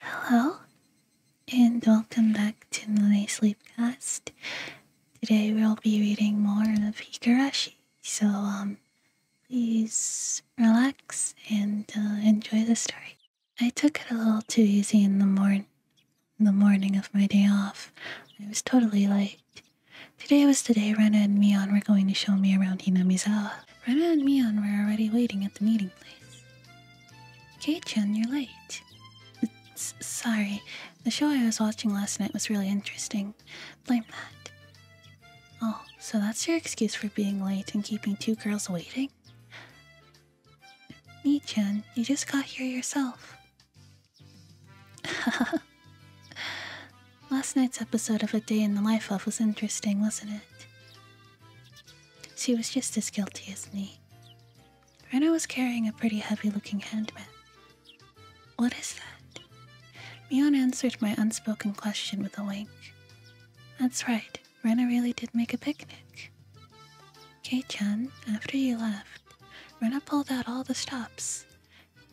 Hello, and welcome back to my Sleepcast. Today we'll be reading more of Higurashi, so um, please relax and uh, enjoy the story. I took it a little too easy in the morning. The morning of my day off, I was totally like, Today was the day Rena and Mion were going to show me around Hinamizawa. Rena and Mion were already waiting at the meeting place. Kei-chan, you're late. sorry, the show I was watching last night was really interesting. Blame that. Oh, so that's your excuse for being late and keeping two girls waiting? Me chan you just got here yourself. Last night's episode of A Day in the Life of was interesting, wasn't it? She was just as guilty as me. Rena was carrying a pretty heavy looking handbag. What is that? Mion answered my unspoken question with a wink. That's right, Rena really did make a picnic. Kei chan, after you left, Rena pulled out all the stops.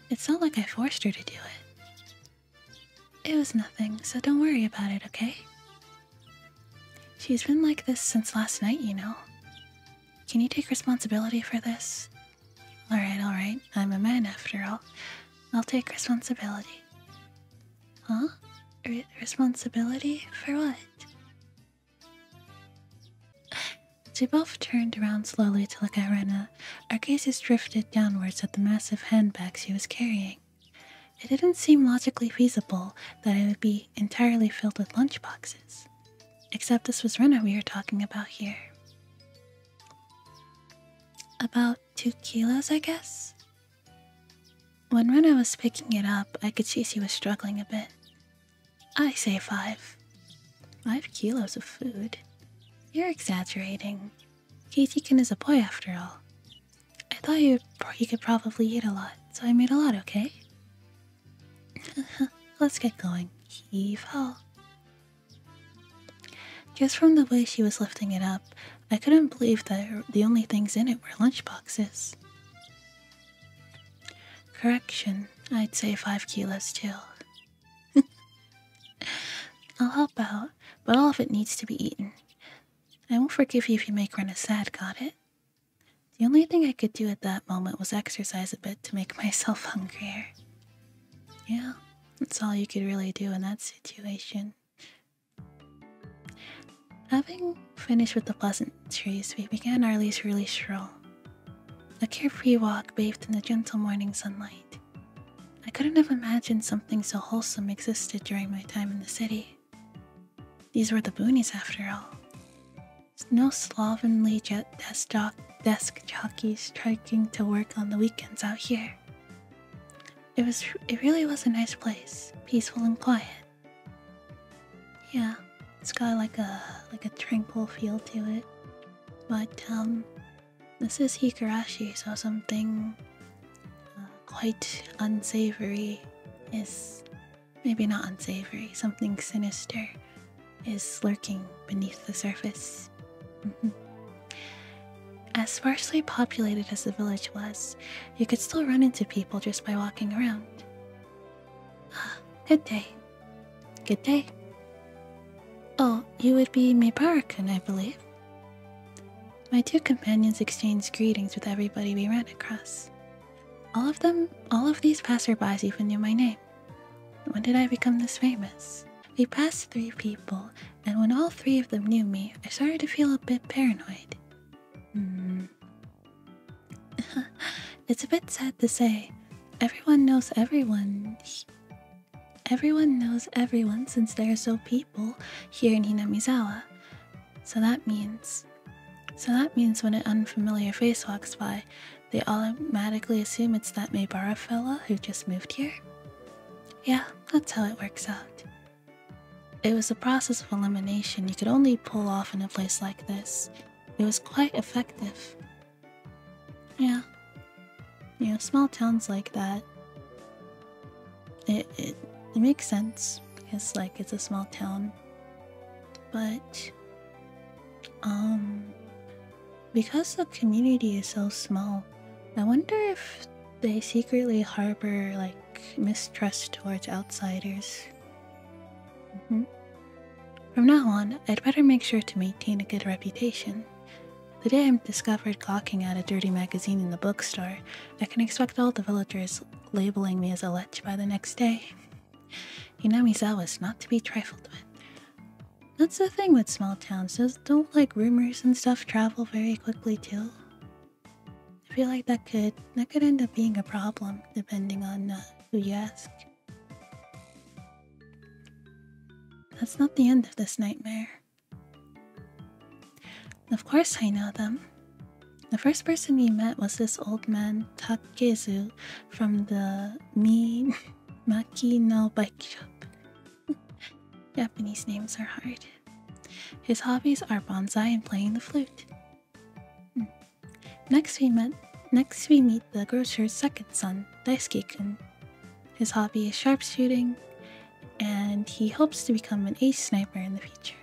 It's not like I forced her to do it. It was nothing, so don't worry about it, okay? She's been like this since last night, you know. Can you take responsibility for this? Alright, alright. I'm a man after all. I'll take responsibility. Huh? responsibility for what? They turned around slowly to look at Rena. Our gazes drifted downwards at the massive handbag she was carrying. It didn't seem logically feasible that it would be entirely filled with lunchboxes, except this was runner we were talking about here. About two kilos, I guess? When Rena was picking it up, I could see she was struggling a bit. I say five. Five kilos of food? You're exaggerating. keiji is a boy after all, I thought you you could probably eat a lot, so I made a lot. Okay. Let's get going. He fell. Just from the way she was lifting it up, I couldn't believe that the only things in it were lunchboxes. Correction, I'd say five kilos too. I'll help out, but all of it needs to be eaten. I won't forgive you if you make Rena sad, got it? The only thing I could do at that moment was exercise a bit to make myself hungrier. Yeah, that's all you could really do in that situation. Having finished with the pleasant pleasantries, we began our leisurely stroll. A carefree walk bathed in the gentle morning sunlight. I couldn't have imagined something so wholesome existed during my time in the city. These were the boonies after all. No slovenly desk, desk jockeys striking to work on the weekends out here. It was it really was a nice place, peaceful and quiet. Yeah, it's got like a like a tranquil feel to it. But this um, is Hikarashi, so something uh, quite unsavory is maybe not unsavory, something sinister is lurking beneath the surface. Mm-hmm. As sparsely populated as the village was, you could still run into people just by walking around. Ah, good day. Good day. Oh, you would be maybara I believe. My two companions exchanged greetings with everybody we ran across. All of them, all of these passerbys even knew my name. When did I become this famous? We passed three people, and when all three of them knew me, I started to feel a bit paranoid. Hmm. it's a bit sad to say. Everyone knows everyone. Everyone knows everyone since there are so people here in Hinamizawa, so that means so that means when an unfamiliar face walks by, they automatically assume it's that Maybara fella who just moved here? Yeah, that's how it works out. It was a process of elimination you could only pull off in a place like this. It was quite effective. Yeah. You know, small towns like that, it, it, it makes sense. It's like it's a small town, but um, because the community is so small, I wonder if they secretly harbor like mistrust towards outsiders. Mm -hmm. From now on, I'd better make sure to maintain a good reputation. The day I'm discovered gawking at a dirty magazine in the bookstore, I can expect all the villagers labeling me as a lech by the next day. You Hinamizawa is not to be trifled with. That's the thing with small towns, those don't like rumors and stuff travel very quickly too. I feel like that could that could end up being a problem depending on uh, who you ask. That's not the end of this nightmare. Of course I know them. The first person we met was this old man, Takezu, from the Mimaki no Bike Shop. Japanese names are hard. His hobbies are bonsai and playing the flute. Hmm. Next we met next we meet the grocer's second son, Daisuke-kun. His hobby is sharpshooting, and he hopes to become an ace sniper in the future.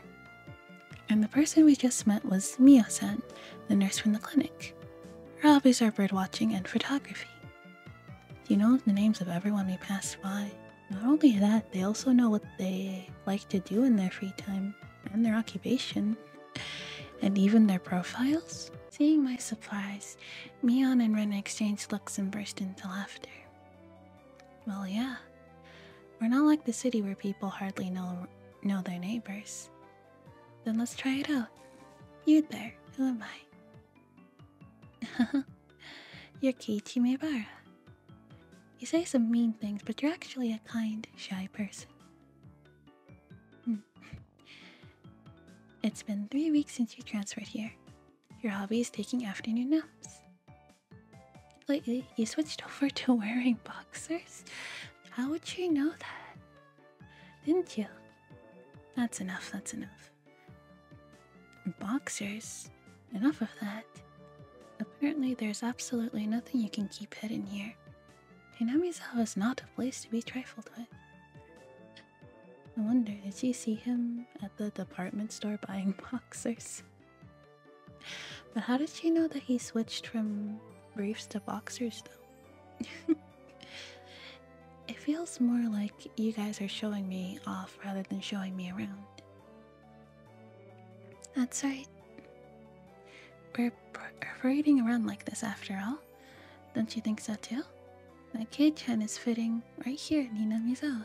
And the person we just met was Miyo san, the nurse from the clinic. Her hobbies are birdwatching and photography. You know the names of everyone we pass by. Not only that, they also know what they like to do in their free time and their occupation, and even their profiles. Seeing my surprise, Mion and Ren exchanged looks and burst into laughter. Well, yeah, we're not like the city where people hardly know know their neighbors. Then let's try it out. You there, who am I? you're Keiichi Maibara. You say some mean things, but you're actually a kind, shy person. Hmm. It's been three weeks since you transferred here. Your hobby is taking afternoon naps. Lately, you switched over to wearing boxers? How would you know that? Didn't you? That's enough, that's enough. Boxers? Enough of that. Apparently, there's absolutely nothing you can keep hidden here. Hinamizawa is not a place to be trifled with. I wonder, did you see him at the department store buying boxers? But how did she know that he switched from briefs to boxers, though? it feels more like you guys are showing me off rather than showing me around. That's right. We're parading around like this after all. Don't you think so, too? My kid chan is fitting right here in Hinamizawa.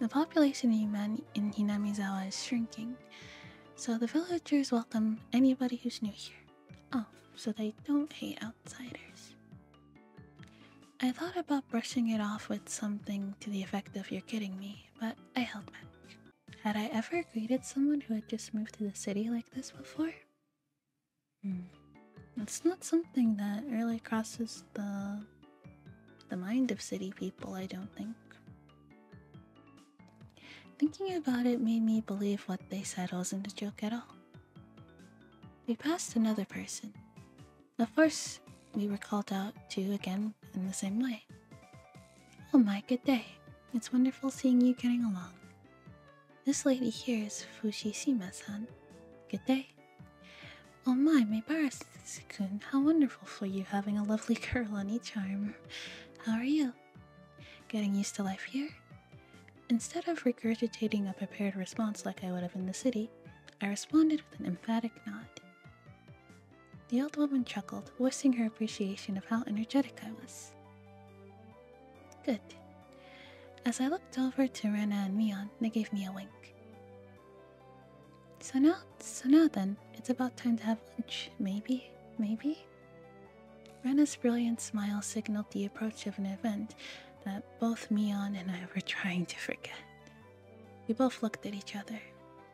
The population of in Hinamizawa is shrinking. So the villagers welcome anybody who's new here. Oh, so they don't hate outsiders. I thought about brushing it off with something to the effect of you're kidding me, but I held back. Had I ever greeted someone who had just moved to the city like this before? Hmm. It's not something that really crosses the the mind of city people, I don't think. Thinking about it made me believe what they said wasn't a joke at all. We passed another person. Of course, we were called out to again in the same way. Oh my, good day. It's wonderful seeing you getting along. This lady here is Fushishima-san. Good day. Oh my, Maybara-kun, how wonderful for you having a lovely curl on each arm. How are you? Getting used to life here? Instead of regurgitating a prepared response like I would have in the city, I responded with an emphatic nod. The old woman chuckled, voicing her appreciation of how energetic I was. Good. As I looked over to Rena and Mion, they gave me a wink. So now, so now then, it's about time to have lunch. Maybe, maybe. Rena's brilliant smile signaled the approach of an event that both Mion and I were trying to forget. We both looked at each other.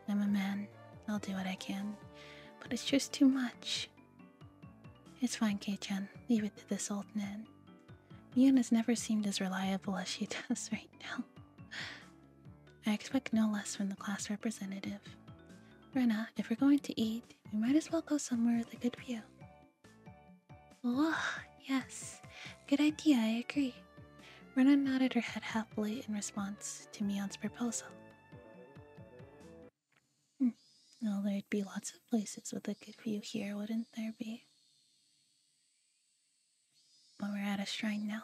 I'm a man. I'll do what I can, but it's just too much. It's fine, Kaiten. Leave it to this old man. Mion has never seemed as reliable as she does right now. I expect no less from the class representative. Rena, if we're going to eat, we might as well go somewhere with a good view. Oh, yes. Good idea, I agree. Rena nodded her head happily in response to Mion's proposal. Hmm, well, there'd be lots of places with a good view here, wouldn't there be? But we're at a shrine now.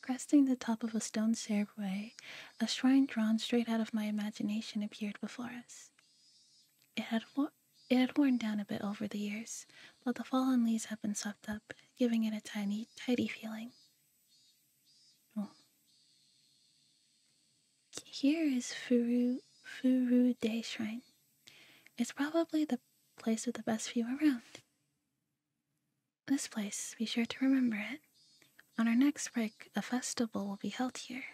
Cresting the top of a stone stairway, a shrine drawn straight out of my imagination appeared before us. It had, it had worn down a bit over the years, but the fallen leaves had been swept up, giving it a tiny, tidy feeling. Oh. Here is Furu, Furu Day Shrine. It's probably the place with the best view around. This place, be sure to remember it. On our next break, a festival will be held here.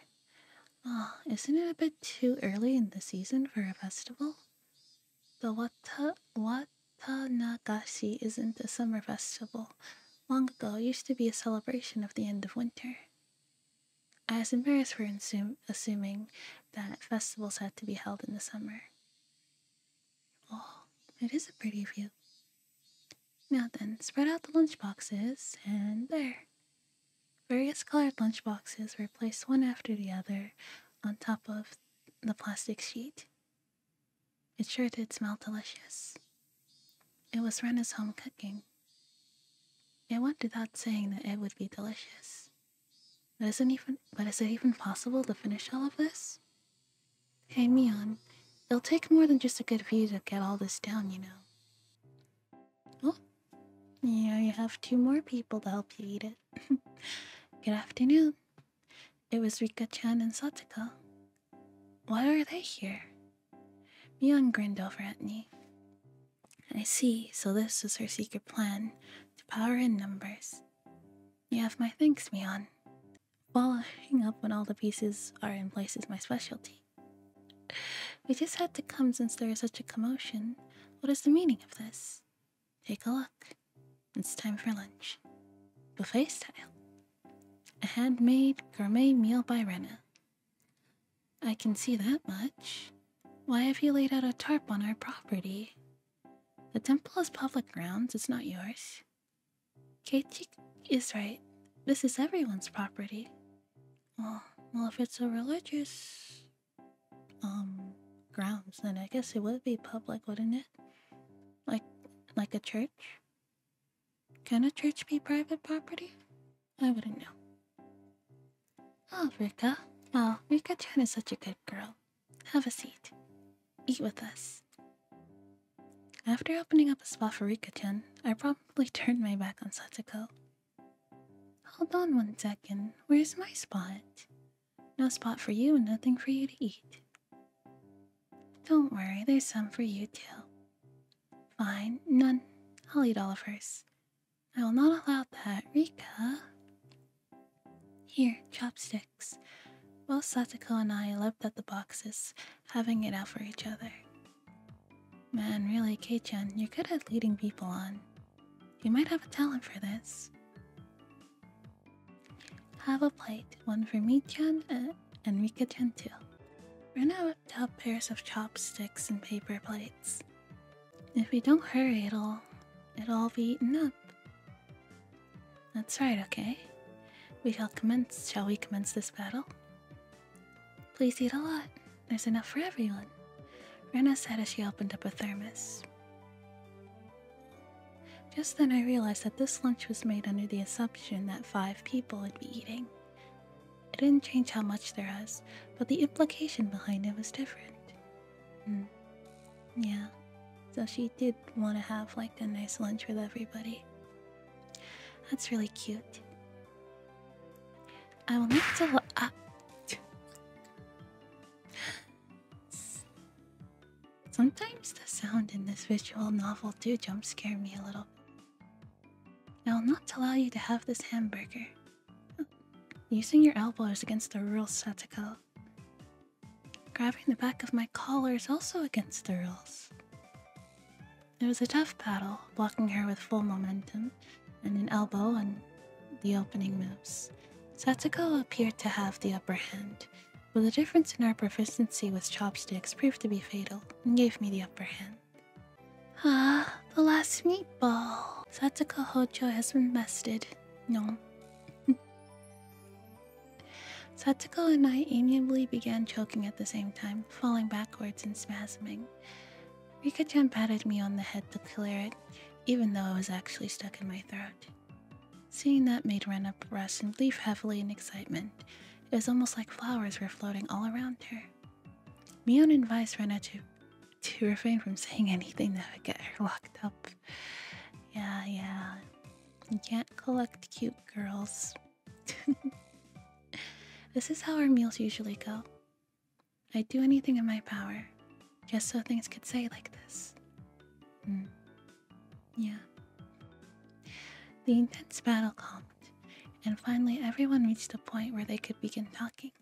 Ah, isn't it a bit too early in the season for a festival? The Wata Watanagashi isn't a summer festival. Long ago, used to be a celebration of the end of winter. I was we're assuming that festivals had to be held in the summer. Oh, it is a pretty view. Now then, spread out the lunch boxes, and there. Various colored lunch boxes were placed one after the other on top of the plastic sheet. It sure did smell delicious. It was Rena's home cooking. It went without saying that it would be delicious. But isn't even but is it even possible to finish all of this? Hey Mion, it'll take more than just a good view to get all this down, you know. Oh, yeah, you have two more people to help you eat it. good afternoon. It was Rika-chan and Sataka. Why are they here? Mion grinned over at me. I see, so this was her secret plan to power in numbers. You have my thanks, Mion. Wallowing up when all the pieces are in place is my specialty. We just had to come since there is such a commotion. What is the meaning of this? Take a look. It's time for lunch. Buffet style. A handmade gourmet meal by Rena. I can see that much. Why have you laid out a tarp on our property? The temple is public grounds, it's not yours. Keiichi is right. This is everyone's property. Well, well, if it's a religious um grounds, then I guess it would be public, wouldn't it? Like, like a church. Can a church be private property? I wouldn't know. Oh, Rika. Oh, Rika-chan is such a good girl. Have a seat. Eat with us. After opening up a spot for Rika-chan, I promptly turned my back on Satsuko. Hold on one second, where's my spot? No spot for you and nothing for you to eat. Don't worry, there's some for you too. Fine, none. I'll eat all of hers. I will not allow that, Rika. Here, chopsticks. Both Satoko and I leapt at the boxes, having it out for each other. Man, really, Kei-chan, you're good at leading people on. You might have a talent for this. Have a plate, one for me-chan and, and Rika-chan too. Rena whipped out pairs of chopsticks and paper plates. If we don't hurry, it'll, it'll all be eaten up. That's right, okay. We shall commence. Shall we commence this battle? Please eat a lot. There's enough for everyone. Rena said as she opened up a thermos. Just then I realized that this lunch was made under the assumption that five people would be eating. It didn't change how much there was, but the implication behind it was different. Mm. Yeah. So she did want to have like a nice lunch with everybody. That's really cute. I will not to. Uh, Sometimes the sound in this visual novel do jump scare me a little. I will not allow you to have this hamburger. Using your elbows against the real Satoko. Grabbing the back of my collar is also against the rules. It was a tough battle, blocking her with full momentum and an elbow and the opening moves. Satsuko appeared to have the upper hand, but the difference in our proficiency with chopsticks proved to be fatal and gave me the upper hand. Ah, the last meatball. Satsuko Hojo has been bested. No. Satsuko and I amiably began choking at the same time, falling backwards and spasming. Rika-chan patted me on the head to clear it, even though I was actually stuck in my throat. Seeing that made Ren up rush and leaf heavily in excitement. It was almost like flowers were floating all around her. Mion advised Rena to, to refrain from saying anything that would get her locked up. Yeah, yeah. You can't collect cute girls. this is how our meals usually go. I'd do anything in my power just so things could say like this. Hmm. Yeah. The intense battle calmed, and finally everyone reached a point where they could begin talking.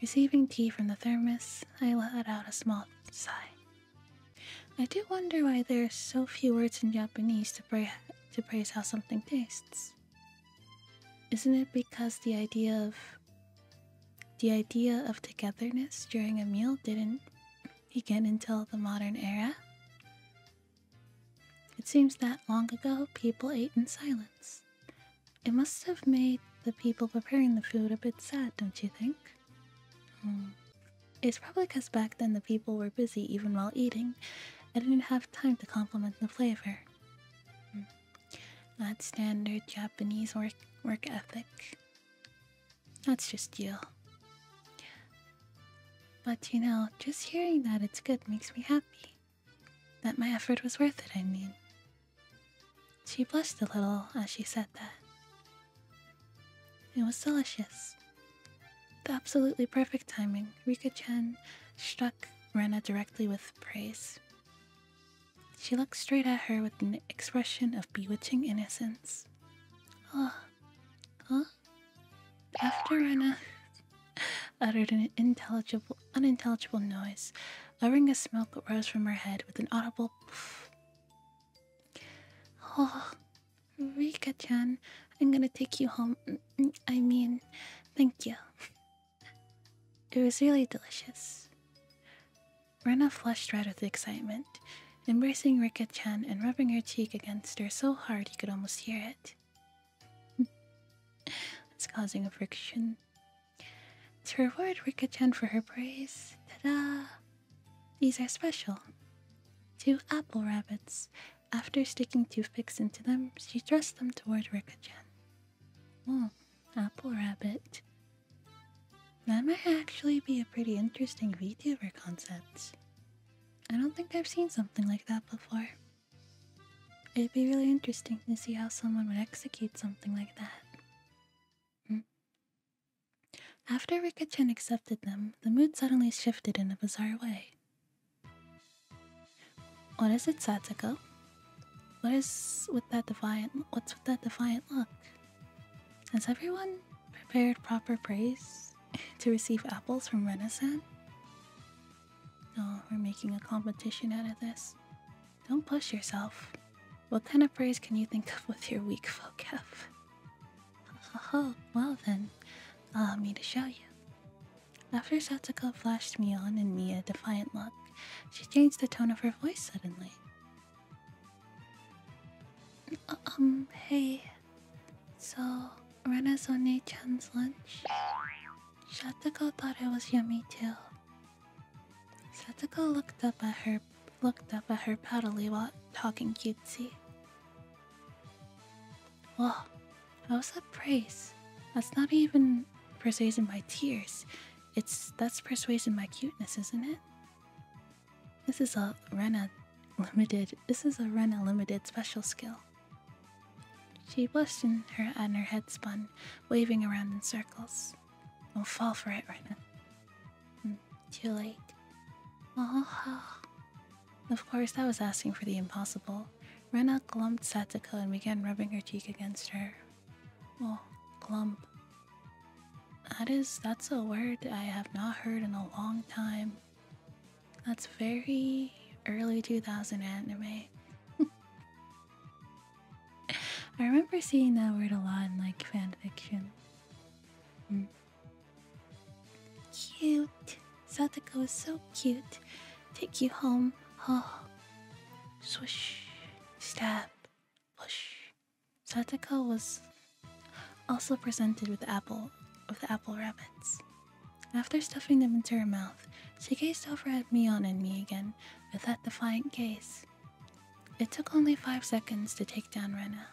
Receiving tea from the thermos, I let out a small sigh. I do wonder why there are so few words in Japanese to, praise how something tastes. Isn't it because the idea of the idea of togetherness during a meal didn't begin until the modern era? It seems that long ago people ate in silence. It must have made the people preparing the food a bit sad, don't you think? Hmm. It's probably because back then the people were busy even while eating and didn't have time to compliment the flavor. Hmm. Not standard Japanese work, work ethic. That's just you. But you know, just hearing that it's good makes me happy. That my effort was worth it, I mean. She blushed a little as she said that. It was delicious. The absolutely perfect timing, Rika Chen struck Rena directly with praise. She looked straight at her with an expression of bewitching innocence. Ah, huh? After Rena uttered an intelligible, unintelligible noise, a ring of smoke rose from her head with an audible poof. Oh, Rika-chan, I'm gonna take you home. Mm, mm, I mean, thank you. it was really delicious. Rena flushed red with excitement, embracing Rika-chan and rubbing her cheek against her so hard you could almost hear it. it's causing a friction. To reward Rika-chan for her praise, ta-da! These are special. Two apple rabbits. After sticking toothpicks into them, she thrust them toward Rika-chan. Oh, apple rabbit. That might actually be a pretty interesting VTuber concept. I don't think I've seen something like that before. It'd be really interesting to see how someone would execute something like that. Hmm? After Rika-chan accepted them, the mood suddenly shifted in a bizarre way. What is it, Satsuko? What is with that defiant? What's with that defiant look? Has everyone prepared proper praise to receive apples from Renaissance? No, we're making a competition out of this. Don't push yourself. What kind of praise can you think of with your weak folk health? Oh, well then, allow me to show you. After Satsuko flashed me on and me a defiant look, she changed the tone of her voice suddenly. Um, hey. So, Renazone-chan's lunch? Satsuko thought it was yummy too. Satsuko looked up at her looked up at her proudly while talking cutesy. Well, how's that praise? That's not even persuading my tears. It's that's persuading my cuteness, isn't it? This is a Rena limited this is a Rena limited special skill. She blushed and her and her head spun, waving around in circles. Don't fall for it, Rena too late. of course, that was asking for the impossible. Rena glumped Satoko and began rubbing her cheek against her. Oh, glump. That is, that's a word I have not heard in a long time. That's very early 2000 anime. I remember seeing that word a lot in like fanfiction. Hmm. Cute. Satoko was so cute. Take you home. Oh. Swish. Stab. Push. Satoko was also presented with apple with apple rabbits. After stuffing them into her mouth, she gazed over at Mion and me again with that defiant gaze. It took only five seconds to take down Rena,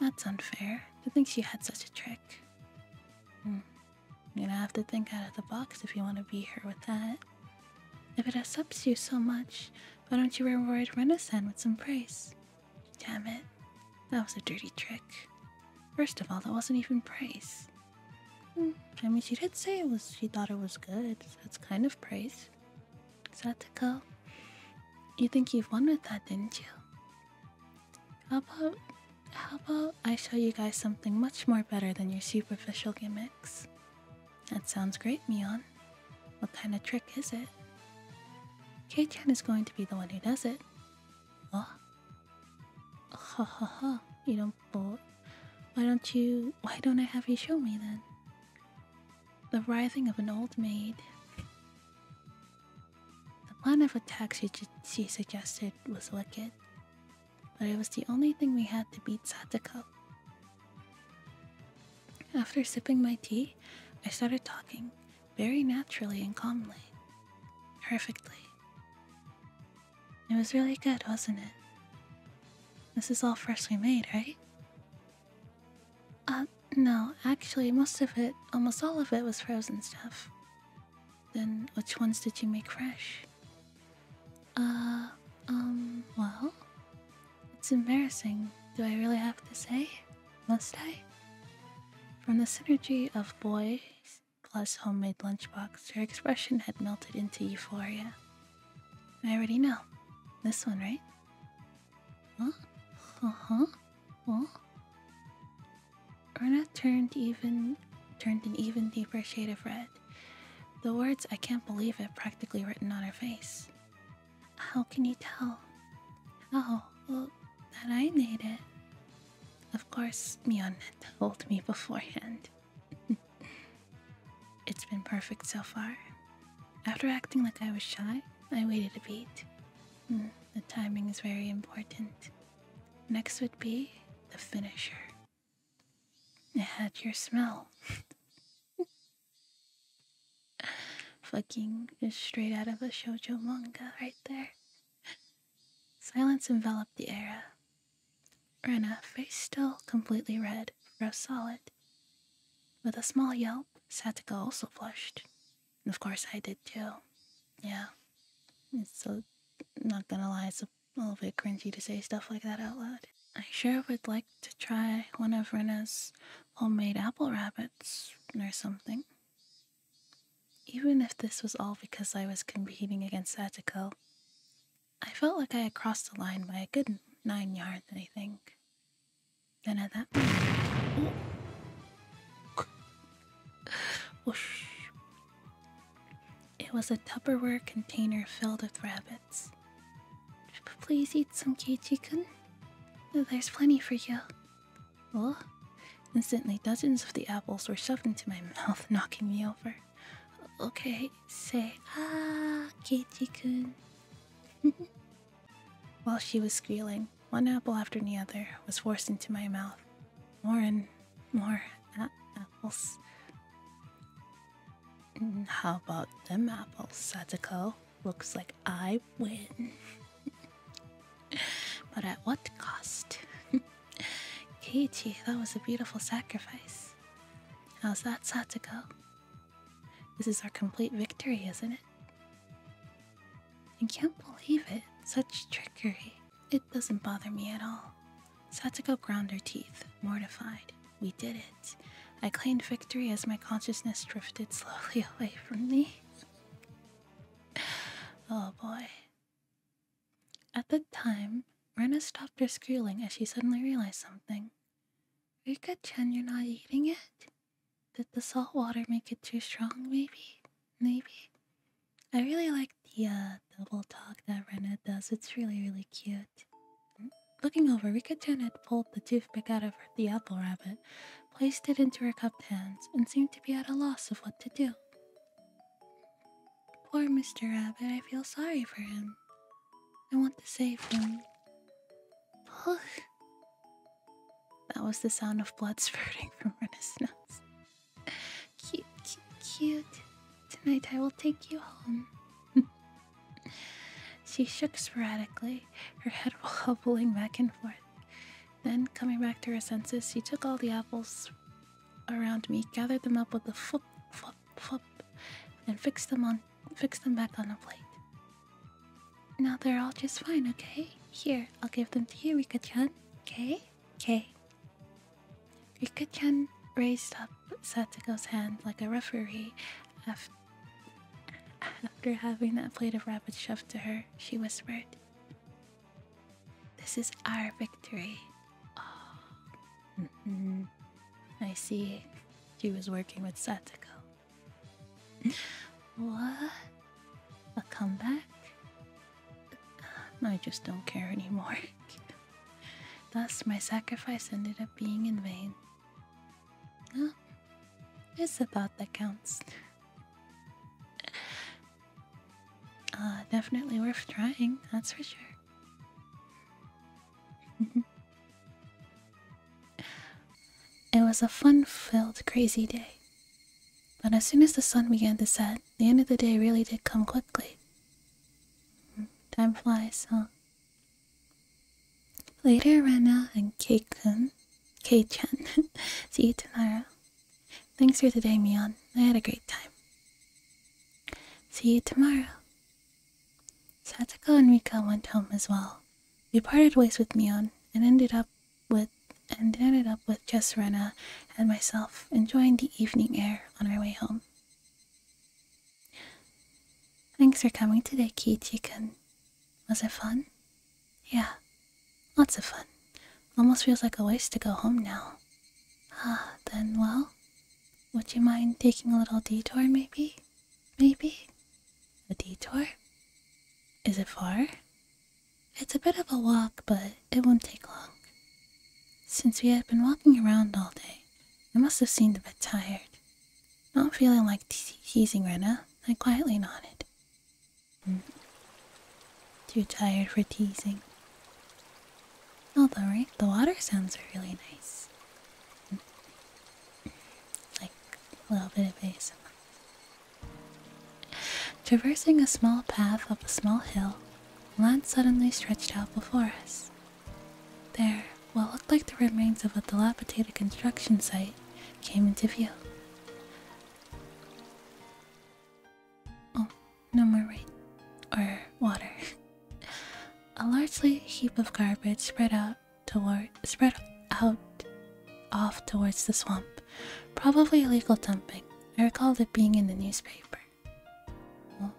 that's unfair to think she had such a trick. Hmm. You're gonna have to think out of the box if you want to be here with that. If it upsets you so much, why don't you reward Renasan with some praise? Damn it, that was a dirty trick. First of all, that wasn't even praise. Hmm. I mean, she did say it was. She thought it was good. that's kind of praise. Satoko, you think you've won with that, didn't you? How about how about I show you guys something much more better than your superficial gimmicks? That sounds great, Mion. What kind of trick is it? K-chan is going to be the one who does it. Oh. Haha! You don't bolt. Why don't you why don't I have you show me then? The rising of an old maid. The plan of attack she, suggested was wicked, but it was the only thing we had to beat Satoko. After sipping my tea, I started talking very naturally and calmly. Perfectly. It was really good, wasn't it? This is all freshly made, right? Uh, no, actually, most of it, almost all of it, was frozen stuff. Then, which ones did you make fresh? Uh, um, well, it's embarrassing. Do I really have to say? Must I? From the synergy of boys plus homemade lunchbox, her expression had melted into euphoria. I already know. This one, right? Huh? Uh-huh. Well, Erna turned even turned an even deeper shade of red. The words I can't believe it practically written on her face. How can you tell? Oh, well, that I made it. Of course, Mionette told me beforehand. it's been perfect so far. After acting like I was shy, I waited a beat, Hmm, the timing is very important. Next would be the finisher. It had your smell. Fucking is straight out of a shoujo manga right there. Silence enveloped the area. Rena's face still completely red, rose solid. With a small yelp, Sataka also flushed, of course, I did too. Yeah. It's so, not gonna lie, it's a little bit cringy to say stuff like that out loud. I sure would like to try one of Rena's homemade apple rabbits or something. Even if this was all because I was competing against Satiko, I felt like I had crossed the line by a good nine yards, I think. Then at that it was a Tupperware container filled with rabbits. Please eat some Keiichi-kun. There's plenty for you. Oh. Instantly, dozens of the apples were shoved into my mouth, knocking me over. Okay, say, ah, Keiichi-kun. While she was squealing, one apple after the other was forced into my mouth. More and more apples. Mm, how about them apples, Satoko? Looks like I win. but at what cost? Keiichi, that was a beautiful sacrifice. How's that, Satoko? This is our complete victory, isn't it? I can't believe it. Such trickery. It doesn't bother me at all. Satsuko ground her teeth, mortified. We did it. I claimed victory as my consciousness drifted slowly away from me. oh boy. At that time, Rena stopped her squealing as she suddenly realized something. Rika-chan, you're not eating it? Did the salt water make it too strong? Maybe. Maybe. I really like the uh, double talk that Renna does. It's really, really cute. Looking over, Rikachen had pulled the toothpick out of the apple rabbit, placed it into her cupped hands, and seemed to be at a loss of what to do. Poor Mr. Rabbit, I feel sorry for him. I want to save him. That was the sound of blood spurting from Rena's nose. Cute, cute, cute. Tonight I will take you home. she shook sporadically, her head wobbling back and forth. Then, coming back to her senses, she took all the apples around me, gathered them up with a flip, flip, flip, and fixed them on, fixed them back on a plate. Now they're all just fine, okay? Here, I'll give them to you, Rika-chan. Okay, okay. Rika-chan raised up Satsuko's hand like a referee after having that plate of rabbit shoved to her, she whispered, This is our victory. Oh. Mm-hmm. I see. She was working with Satoko. what? A comeback? I just don't care anymore. Thus, my sacrifice ended up being in vain. Well, it's the thought that counts. Uh, definitely worth trying, that's for sure. it was a fun filled, crazy day. But as soon as the sun began to set, the end of the day really did come quickly. Time flies, huh? Later, Rana and Kei-kun, chan see you tomorrow. Thanks for today, Mion. I had a great time. See you tomorrow. Satoko and Rika went home as well. We parted ways with Mion and ended up with and ended up with just Rena and myself enjoying the evening air on our way home. Thanks for coming today, kiichi can. Was it fun? Yeah, lots of fun. Almost feels like a waste to go home now. Ah, then, well, would you mind taking a little detour, maybe? Maybe? A detour? Is it far? It's a bit of a walk, but it won't take long. Since we had been walking around all day, I must have seemed a bit tired. Not feeling like teasing Rena, I quietly nodded. Mm-hmm. Too tired for teasing. Although, right, the water sounds are really nice. Like a little bit of ASMR. Traversing a small path up a small hill, land suddenly stretched out before us. There, what looked like the remains of a dilapidated construction site came into view. Oh, no more rain or water. a largely heap of garbage spread out toward spread out off towards the swamp. Probably illegal dumping. I recalled it being in the newspaper. Well,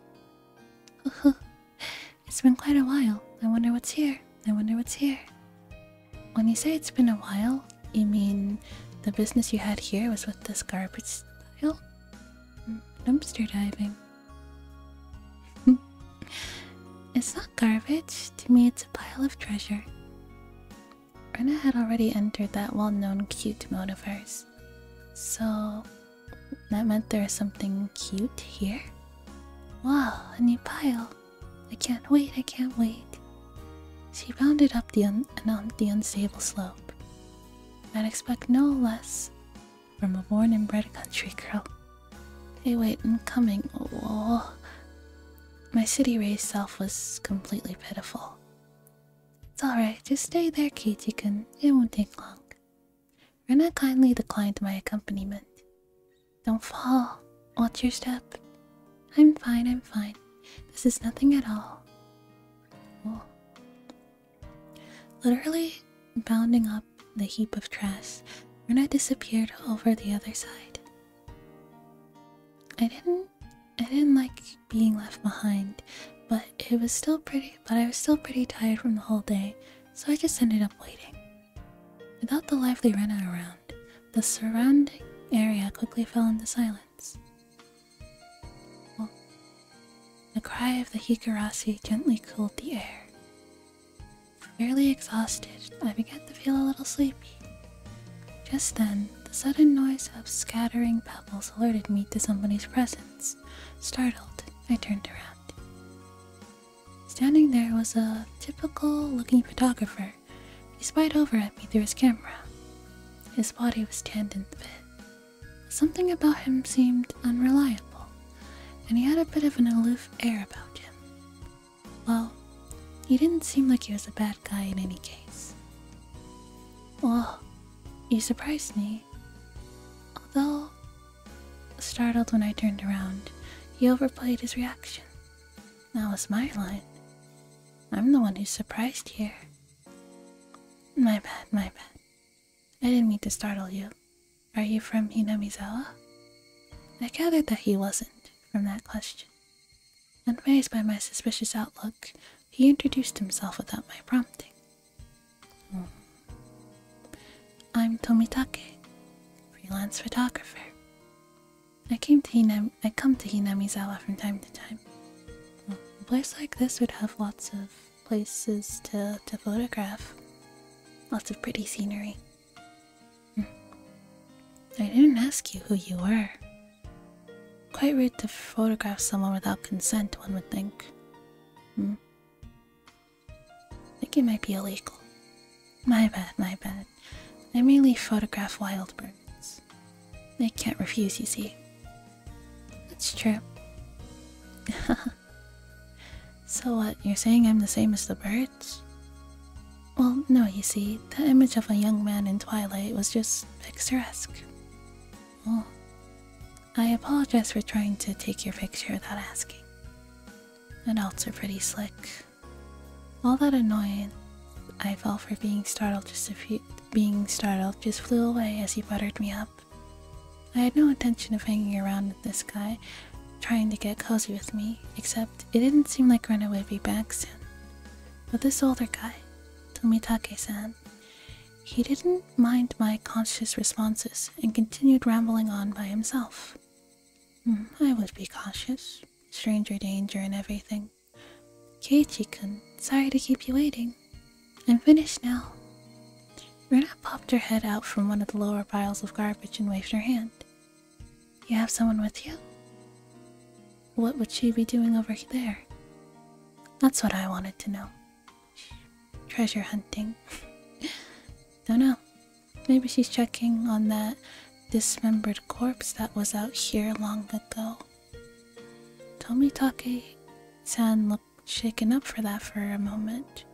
it's been quite a while. I wonder what's here. I wonder what's here. When you say it's been a while, you mean the business you had here was with this garbage style? Mm, dumpster diving. it's not garbage. To me, it's a pile of treasure. Erna had already entered that well known cute mode of hers. So that meant there was something cute here? Wow, a new pile! I can't wait, I can't wait. She rounded up the, the unstable slope. I'd expect no less from a born and bred country girl. Hey, wait, I'm coming. Oh. My city raised self was completely pitiful. It's alright, just stay there, Keiichi-kun. It won't take long. Rena kindly declined my accompaniment. Don't fall. Watch your step. I'm fine, I'm fine. This is nothing at all. Cool. Literally bounding up the heap of trash, Rena disappeared over the other side. I didn't I didn't like being left behind, but it was still pretty but I was still pretty tired from the whole day, so I just ended up waiting. Without the lively Rena around, the surrounding area quickly fell into silence. the cry of the Hikarasi gently cooled the air. Fairly exhausted, I began to feel a little sleepy. Just then, the sudden noise of scattering pebbles alerted me to somebody's presence. Startled, I turned around. Standing there was a typical looking photographer. He spied over at me through his camera. His body was tanned and thin. Something about him seemed unreliable, and he had a bit of an aloof air about him. Well, he didn't seem like he was a bad guy in any case. Well, you surprised me. Although, startled when I turned around, he overplayed his reaction. That was my line. I'm the one who's surprised here. My bad, my bad. I didn't mean to startle you. Are you from Hinamizawa? I gathered that he wasn't from that question. Amazed by my suspicious outlook, he introduced himself without my prompting. Hmm. I'm Tomitake, freelance photographer. I came to Hinam I come to Hinamizawa from time to time. Hmm. A place like this would have lots of places to, to photograph. Lots of pretty scenery. Hmm. I didn't ask you who you were, Quite rude to photograph someone without consent, one would think. Hmm? I think it might be illegal. My bad, my bad. I merely photograph wild birds. They can't refuse, you see. That's true. so what, you're saying I'm the same as the birds? Well, no, you see, the image of a young man in twilight was just picturesque. Well, oh, I apologize for trying to take your picture without asking. Adults are pretty slick. All that annoyance I felt for being startled just a few being startled just flew away as he buttered me up. I had no intention of hanging around with this guy, trying to get cozy with me, except it didn't seem like Rena would be back soon. But this older guy, Tomitake-san, he didn't mind my conscious responses and continued rambling on by himself. Hmm, I would be cautious. Stranger danger and everything. Keiichi sorry to keep you waiting. I'm finished now. Rena popped her head out from one of the lower piles of garbage and waved her hand. You have someone with you? What would she be doing over there? That's what I wanted to know. Treasure hunting. Don't know. Maybe she's checking on that dismembered corpse that was out here long ago. Tommy Tomitake san looked shaken up for that for a moment.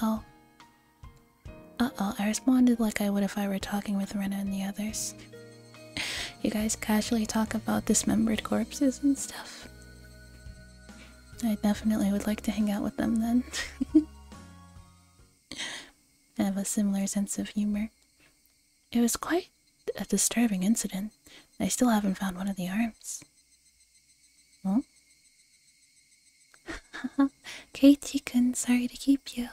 Oh. Uh oh, I responded like I would if I were talking with Rena and the others you guys casually talk about dismembered corpses and stuff. I definitely would like to hang out with them then. I have a similar sense of humor. It was quite a disturbing incident. I still haven't found one of the arms. Huh? Katie-kun, sorry to keep you.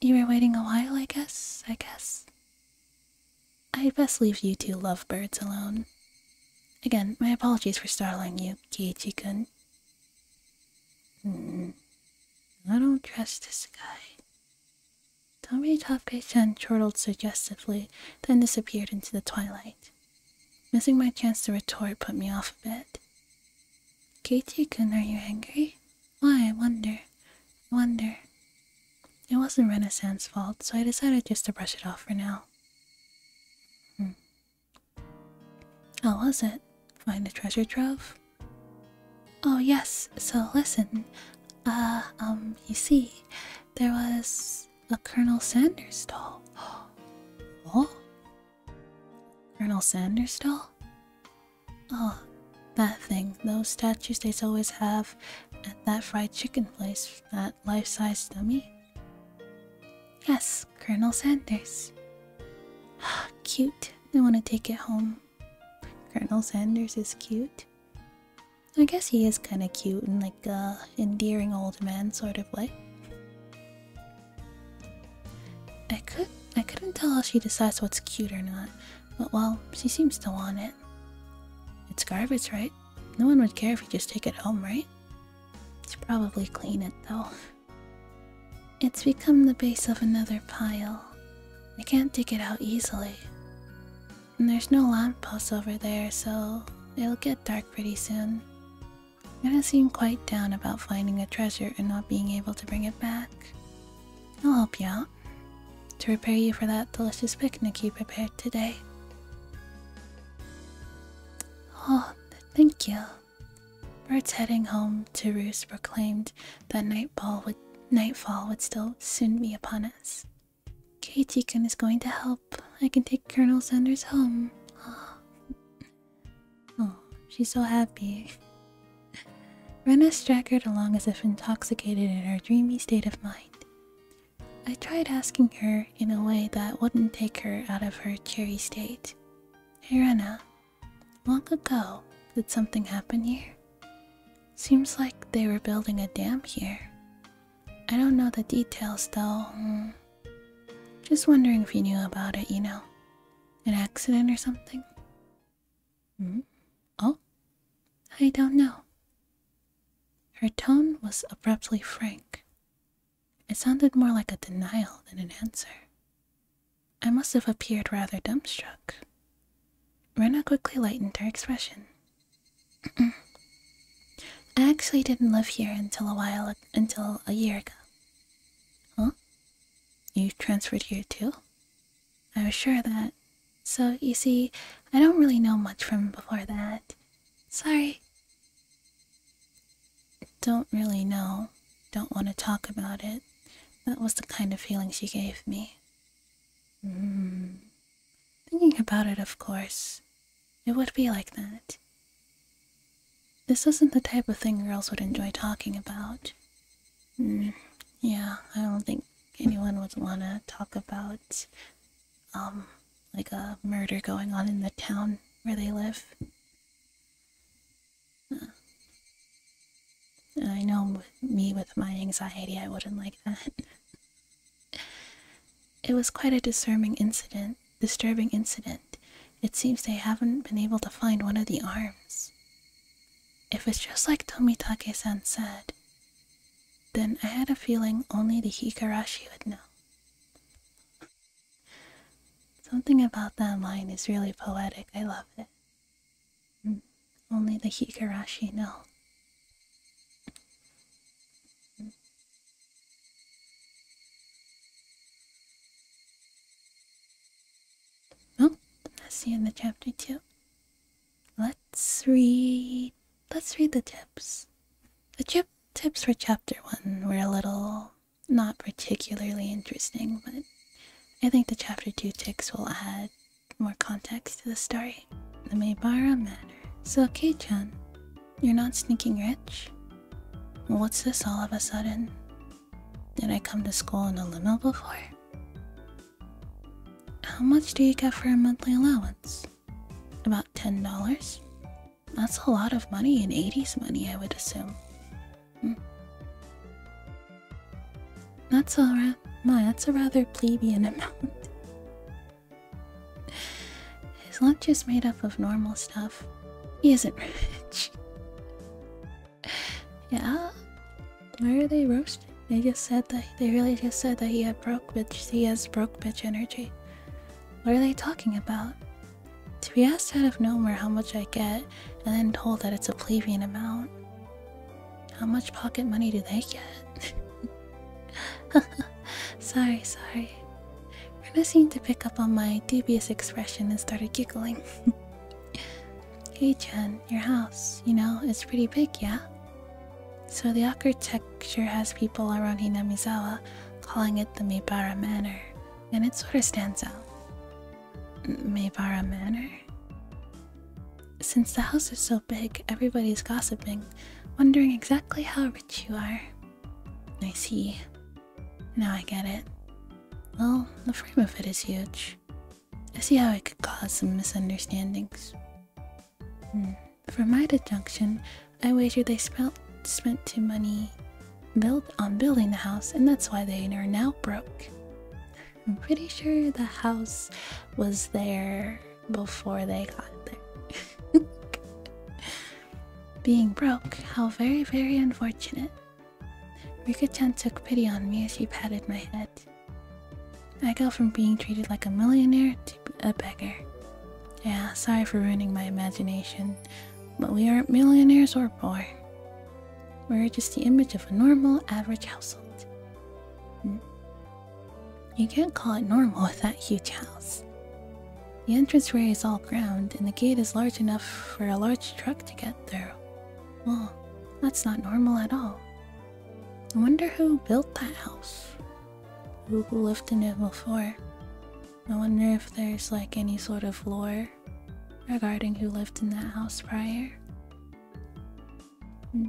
You were waiting a while, I guess, I guess. I'd best leave you two lovebirds alone. Again, my apologies for startling you, Kiichi-kun. Hmm. I don't trust this guy. Tommy Topke-chan chortled suggestively, then disappeared into the twilight. Missing my chance to retort put me off a bit. Kiichi-kun, are you angry? Why, I wonder. wonder. It wasn't Renaissance's fault, so I decided just to brush it off for now. Hmm. How oh, was it? Find a treasure trove? Oh, yes, so listen. Uh, um, you see, there was a Colonel Sanders doll. oh? Colonel Sanders doll? Oh, that thing, those statues they always have at that fried chicken place, that life size dummy? Yes, Colonel Sanders. Ah, cute. I want to take it home. Colonel Sanders is cute. I guess he is kind of cute and like a uh, endearing old man sort of way. I could I couldn't tell if she decides what's cute or not. But well, she seems to want it. It's garbage, right? No one would care if you just take it home, right? It's probably clean it though. It's become the base of another pile. You can't dig it out easily. And there's no lamp post over there, so it'll get dark pretty soon. I gonna seem quite down about finding a treasure and not being able to bring it back. I'll help you out. To prepare you for that delicious picnic you prepared today. Oh, thank you. Birds heading home to roost proclaimed that nightfall would, still soon be upon us. Keiichi-kun is going to help. I can take Colonel Sanders home. Oh, oh she's so happy. Rena straggled along as if intoxicated in her dreamy state of mind. I tried asking her in a way that wouldn't take her out of her cheery state. Hey Rena, long ago, did something happen here? Seems like they were building a dam here. I don't know the details though. Hmm. Just wondering if you knew about it, you know. An accident or something? Hmm? Oh, I don't know. Her tone was abruptly frank. It sounded more like a denial than an answer. I must have appeared rather dumbstruck. Rena quickly lightened her expression. I actually didn't live here until a while until a year ago. Huh? You transferred here too? I was sure of that. So, you see, I don't really know much from before that. Sorry. Don't really know. Don't want to talk about it. That was the kind of feeling she gave me. Mm. Thinking about it, of course, it would be like that. This isn't the type of thing girls would enjoy talking about. Mm. Yeah, I don't think anyone would want to talk about um like a murder going on in the town where they live uh, i know with me with my anxiety i wouldn't like that it was quite a disturbing incident disturbing incident it seems they haven't been able to find one of the arms if it's just like tomitake-san said then I had a feeling only the hikarashi would know. Something about that line is really poetic. I love it. Mm. only the hikarashi know. Mm. I see in the chapter too. Let's read let's read the tips. The chip tips for chapter one were a little not particularly interesting, but I think the chapter two tips will add more context to the story. The Maybara Manor. So Kei-chan, you're not sneaking rich? What's this all of a sudden? Did I come to school in a limo before? How much do you get for a monthly allowance? About $10? That's a lot of money in 80s money, I would assume. Hmm. That's, all right. my, that's a rather plebeian amount. His lunch is made up of normal stuff. He isn't rich. yeah? Why are they roasting? They just said that they really just said that he had broke bitch. He has broke bitch energy. What are they talking about? To be asked out of nowhere how much I get, and then told that it's a plebeian amount. How much pocket money do they get? sorry, sorry. Rena seemed to pick up on my dubious expression and started giggling. hey Jen, your house, you know, it's pretty big, yeah? So the architecture has people around Hinamizawa calling it the Meibara Manor, and it sort of stands out. Meibara Manor? Since the house is so big, everybody's gossiping, wondering exactly how rich you are. I see. Now I get it. Well, the frame of it is huge. I see how it could cause some misunderstandings. Hmm. For my deduction, I wager they spent too money built on building the house, and that's why they are now broke. I'm pretty sure the house was there before they got there. Being broke, how very, very unfortunate. Rika-chan took pity on me as she patted my head. I go from being treated like a millionaire to a beggar. Yeah, sorry for ruining my imagination, but we aren't millionaires or poor. We're just the image of a normal, average household. Hmm. You can't call it normal with that huge house. The entranceway is all ground, and the gate is large enough for a large truck to get through. Well, that's not normal at all. I wonder who built that house who lived in it before? I wonder if there's like any sort of lore regarding who lived in that house prior. Hmm.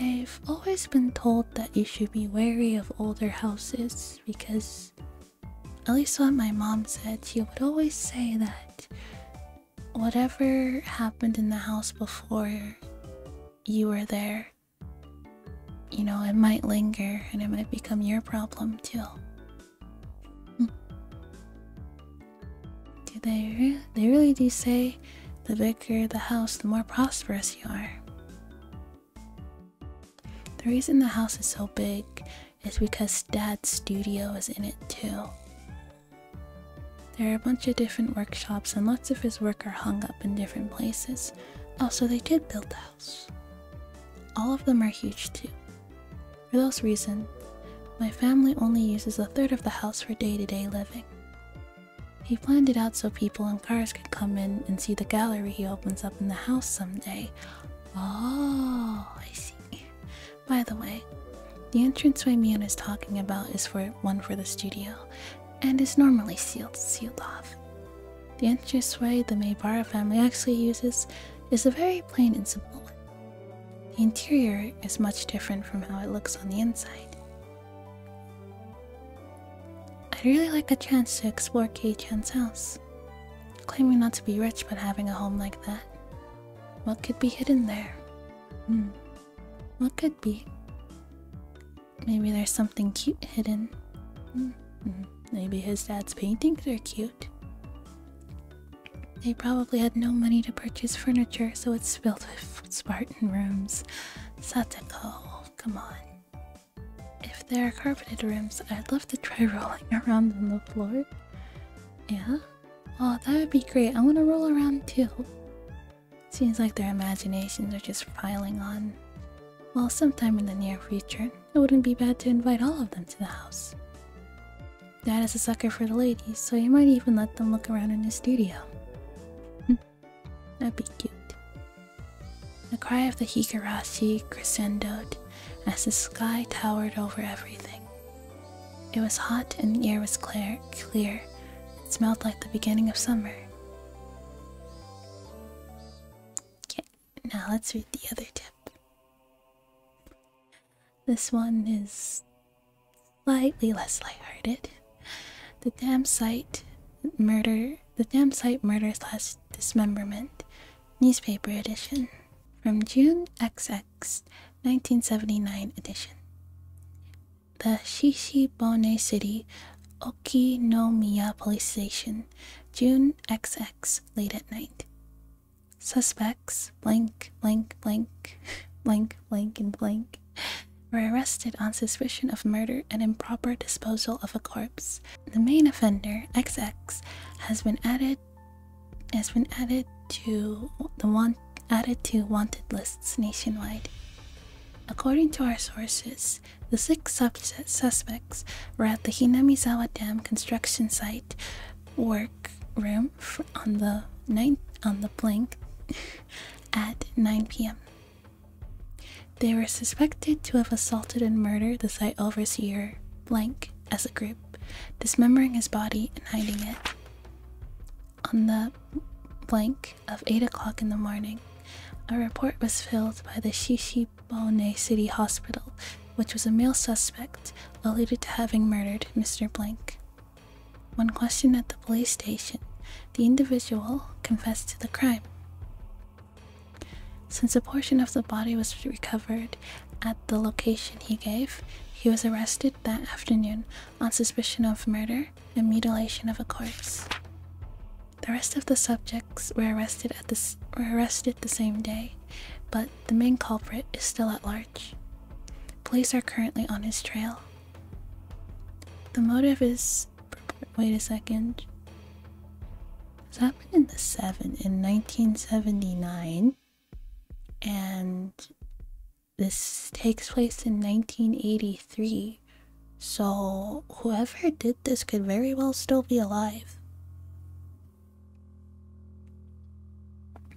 I've always been told that you should be wary of older houses because, at least what my mom said, she would always say that whatever happened in the house before you were there you know, it might linger and it might become your problem too. Hmm. do they they really do say the bigger the house, the more prosperous you are. The reason the house is so big is because dad's studio is in it too. There are a bunch of different workshops, and lots of his work are hung up in different places. Also, they did build the house. All of them are huge, too. For those reasons, my family only uses a third of the house for day to day living. He planned it out so people and cars can come in and see the gallery he opens up in the house someday. Oh, I see. By the way, the entranceway Mion is talking about is for one for the studio, and is normally sealed sealed off. The entranceway the Maybara family actually uses is a very plain and simple one. The interior is much different from how it looks on the inside. I'd really like a chance to explore Kei Chan's house. Claiming not to be rich but having a home like that. What could be hidden there? Hmm. What could be? Maybe there's something cute hidden. Hmm. Maybe his dad's paintings are cute. They probably had no money to purchase furniture, so it's filled with Spartan rooms. Satako, come on. If there are carpeted rooms, I'd love to try rolling around on the floor. Yeah? Oh, that would be great. I want to roll around too. Seems like their imaginations are just filing on. Well, sometime in the near future, it wouldn't be bad to invite all of them to the house. Dad is a sucker for the ladies, so he might even let them look around in the studio. Hmm. That'd be cute. The cry of the hikarashi crescendoed as the sky towered over everything. It was hot and the air was clear. It smelled like the beginning of summer. Okay, now let's read the other tip. This one is slightly less lighthearted. The Dam site murder, the Dam site murder slash dismemberment, newspaper edition, from June XX, 1979 edition the Shishibone City, Okinomiya Police Station, June XX, late at night. Suspects blank, blank, blank, blank, blank, and blank were arrested on suspicion of murder and improper disposal of a corpse. The main offender, XX, has been added has been added to the want added to wanted lists nationwide. According to our sources, the six suspects were at the Hinamizawa Dam construction site work room on the ninth on the blank at 9 p.m. They were suspected to have assaulted and murdered the site overseer blank as a group, dismembering his body and hiding it. On the blank of 8 o'clock in the morning. A report was filed by the Shishibone City Hospital, which was a male suspect alluded to having murdered Mr. Blank. When questioned at the police station, the individual confessed to the crime. Since a portion of the body was recovered at the location he gave, he was arrested that afternoon on suspicion of murder and mutilation of a corpse. The rest of the subjects were arrested at this were arrested the same day, but the main culprit is still at large. Police are currently on his trail. The motive is wait a second. It's happened in the seven in 1979, and this takes place in 1983 so, whoever did this could very well still be alive.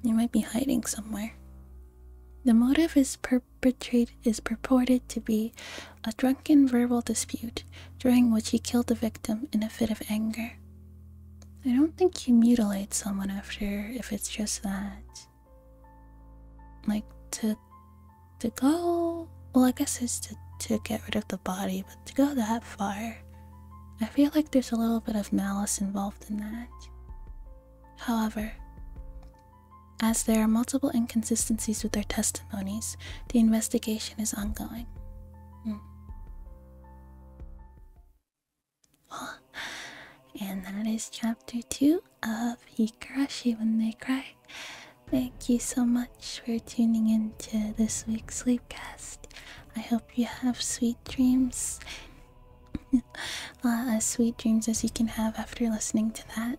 They might be hiding somewhere. The motive is perpetrated is purported to be a drunken verbal dispute during which he killed the victim in a fit of anger. I don't think you mutilate someone after if it's just that. Like to to go well i guess it's to, to get rid of the body but to go that far i feel like there's a little bit of malice involved in that however as there are multiple inconsistencies with their testimonies the investigation is ongoing hmm. and that is chapter 2 of Hikarashi when they cry. Thank you so much for tuning in to this week's sleep sleepcast. I hope you have sweet dreams. Uh, as sweet dreams as you can have after listening to that.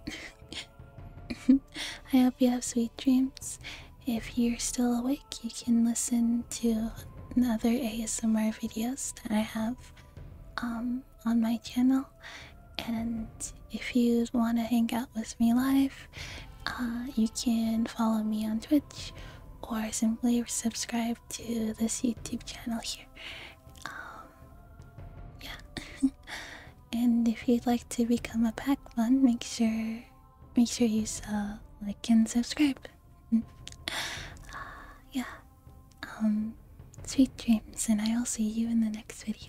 I hope you have sweet dreams. If you're still awake, you can listen to other ASMR videos that I have um, on my channel. And if you want to hang out with me live, uh, you can follow me on Twitch or simply subscribe to this YouTube channel here. Um, yeah. and if you'd like to become a pack one, make sure make sure you uh, like and subscribe. Uh, yeah. Um, sweet dreams, and I will see you in the next video.